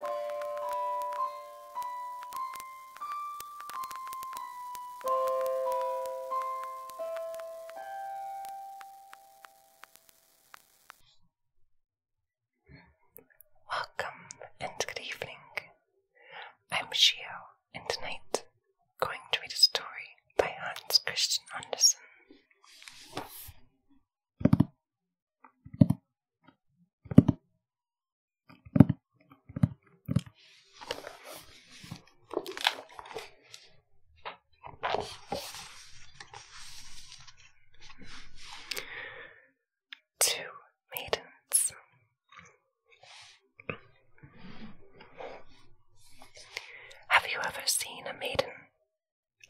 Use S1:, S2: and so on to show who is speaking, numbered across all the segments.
S1: Welcome and good evening. I'm Shio, and tonight I'm going to read a story by Hans Christian Andersen. Two maidens. Have you ever seen a maiden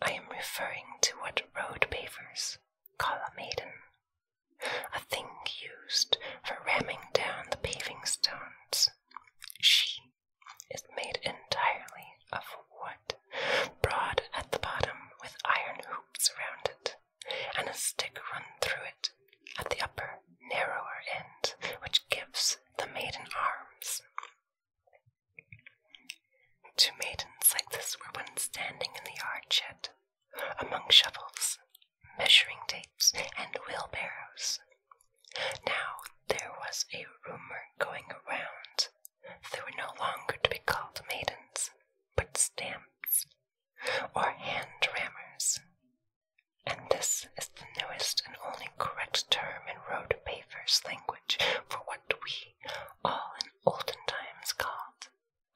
S1: I am referring to what road pavers call a maiden, a thing used for ramming down the paving stones. She is made entirely of wood, broad at the bottom with iron hoops around it, and a stick run through it at the upper, narrower end, which gives the maiden arms. Two maidens like this were once standing in the yard shed, among shovels, measuring tapes, and wheelbarrows. Now there was a rumor going around that they were no longer to be called maidens, but stamps, or hand rammers. And this is the newest and only correct term in road pavers language for what we all in olden times called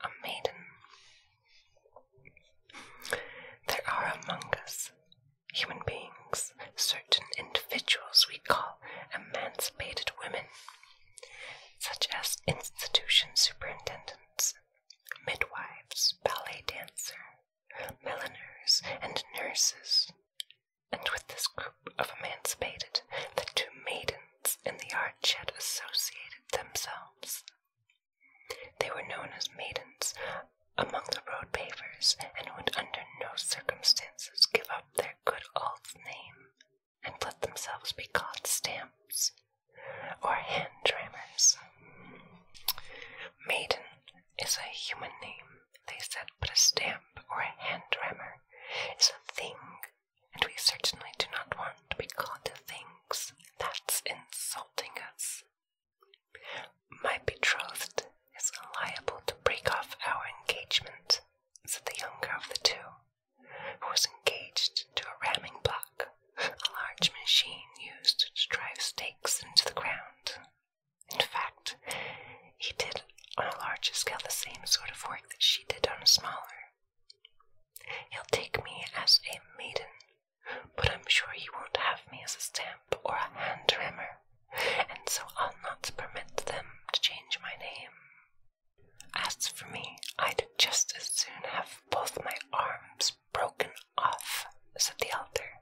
S1: a maiden. There are among us human beings certain individuals we call emancipated women, such as institution superintendents, midwives, ballet dancers, milliners, and nurses, and with this group of emancipated, the two maidens in the arch had associated themselves. They were known as maidens among the road pavers, and would under no circumstances give up their good old name and let themselves be called stamps or hand trammers. Maiden is a human name they said, but a stamp or a hand rammer is a thing, and we certainly do not want to be called things. That's insulting us. My betrothed is liable to break off our engagement, said the younger of the two, who was engaged to a ramming block, a large machine used to drive stakes into the ground. In fact, he did on a larger scale the same sort of work that she did on a smaller. He'll take me as a maiden, but I'm sure he won't have me as a stamp or a hand hammer, and so I'll not permit them to change my name. As for me, I'd just as soon have both my arms broken off, said the elder.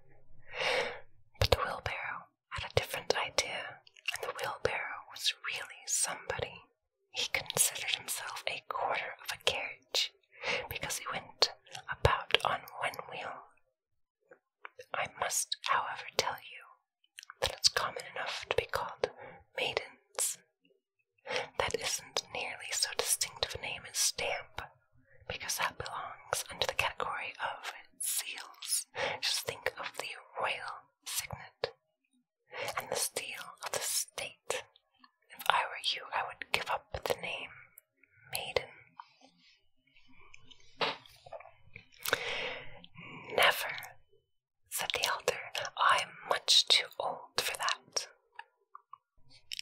S1: But the wheelbarrow had a different idea, and the wheelbarrow was really somebody. He considered himself a quarter of a carriage because he went about on one wheel. I must, however, tell you that it's common enough to be called maidens. That isn't nearly so distinctive a name as stamp, because that belongs under the category of seals. Just think of the royal signet and the seal of the state. If I were you, I would give up the name Maiden. Never, said the elder. I'm much too old for that.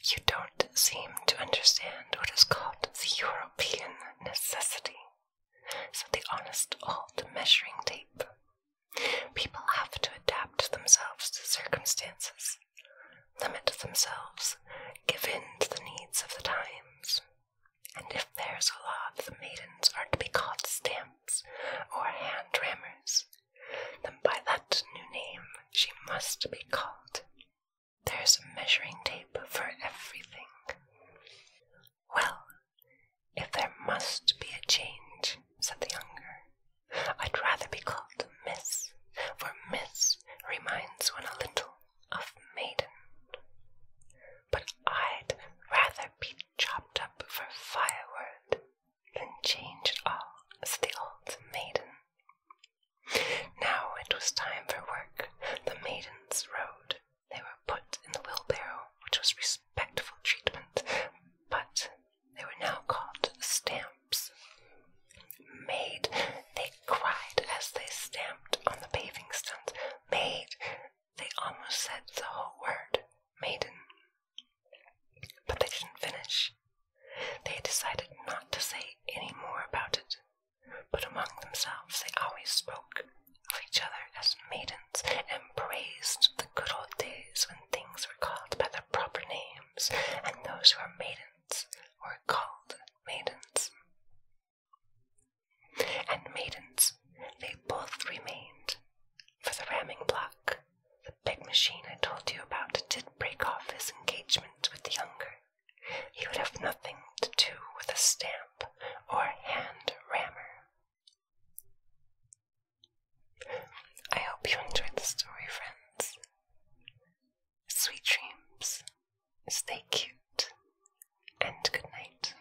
S1: You don't seem to understand what is called the European necessity. So, the honest old measuring tape. People have to adapt themselves to circumstances, limit themselves, give in to the needs of the times. And if there's a law the maidens are to be called stamps or hand rammers, then by that new name she must be called. There's a measuring tape for everything. Well, if there must be a change, said the younger, I'd rather be called Miss, for Miss reminds one a little of maiden. But I'd rather be chopped up for firewood and changed all as the old maiden. Now it was time for work. The maidens rode. They were put in the wheelbarrow, which was respectful treatment, but they were now called stamps. Maid, they cried as they stamped on the paving stones. Maid, they almost said the whole word, maiden. But they didn't finish. They decided not to say any more about it, but among themselves they always spoke of each other as maidens and praised the good old days when things were called by their proper names, and those who were maidens were called maidens. And maidens they both remained, for the ramming block the big machine I told you about did break off his engagement with the younger. He would have nothing to do with a stamp or hand rammer. I hope you enjoyed the story, friends. Sweet dreams. Stay cute. And good night.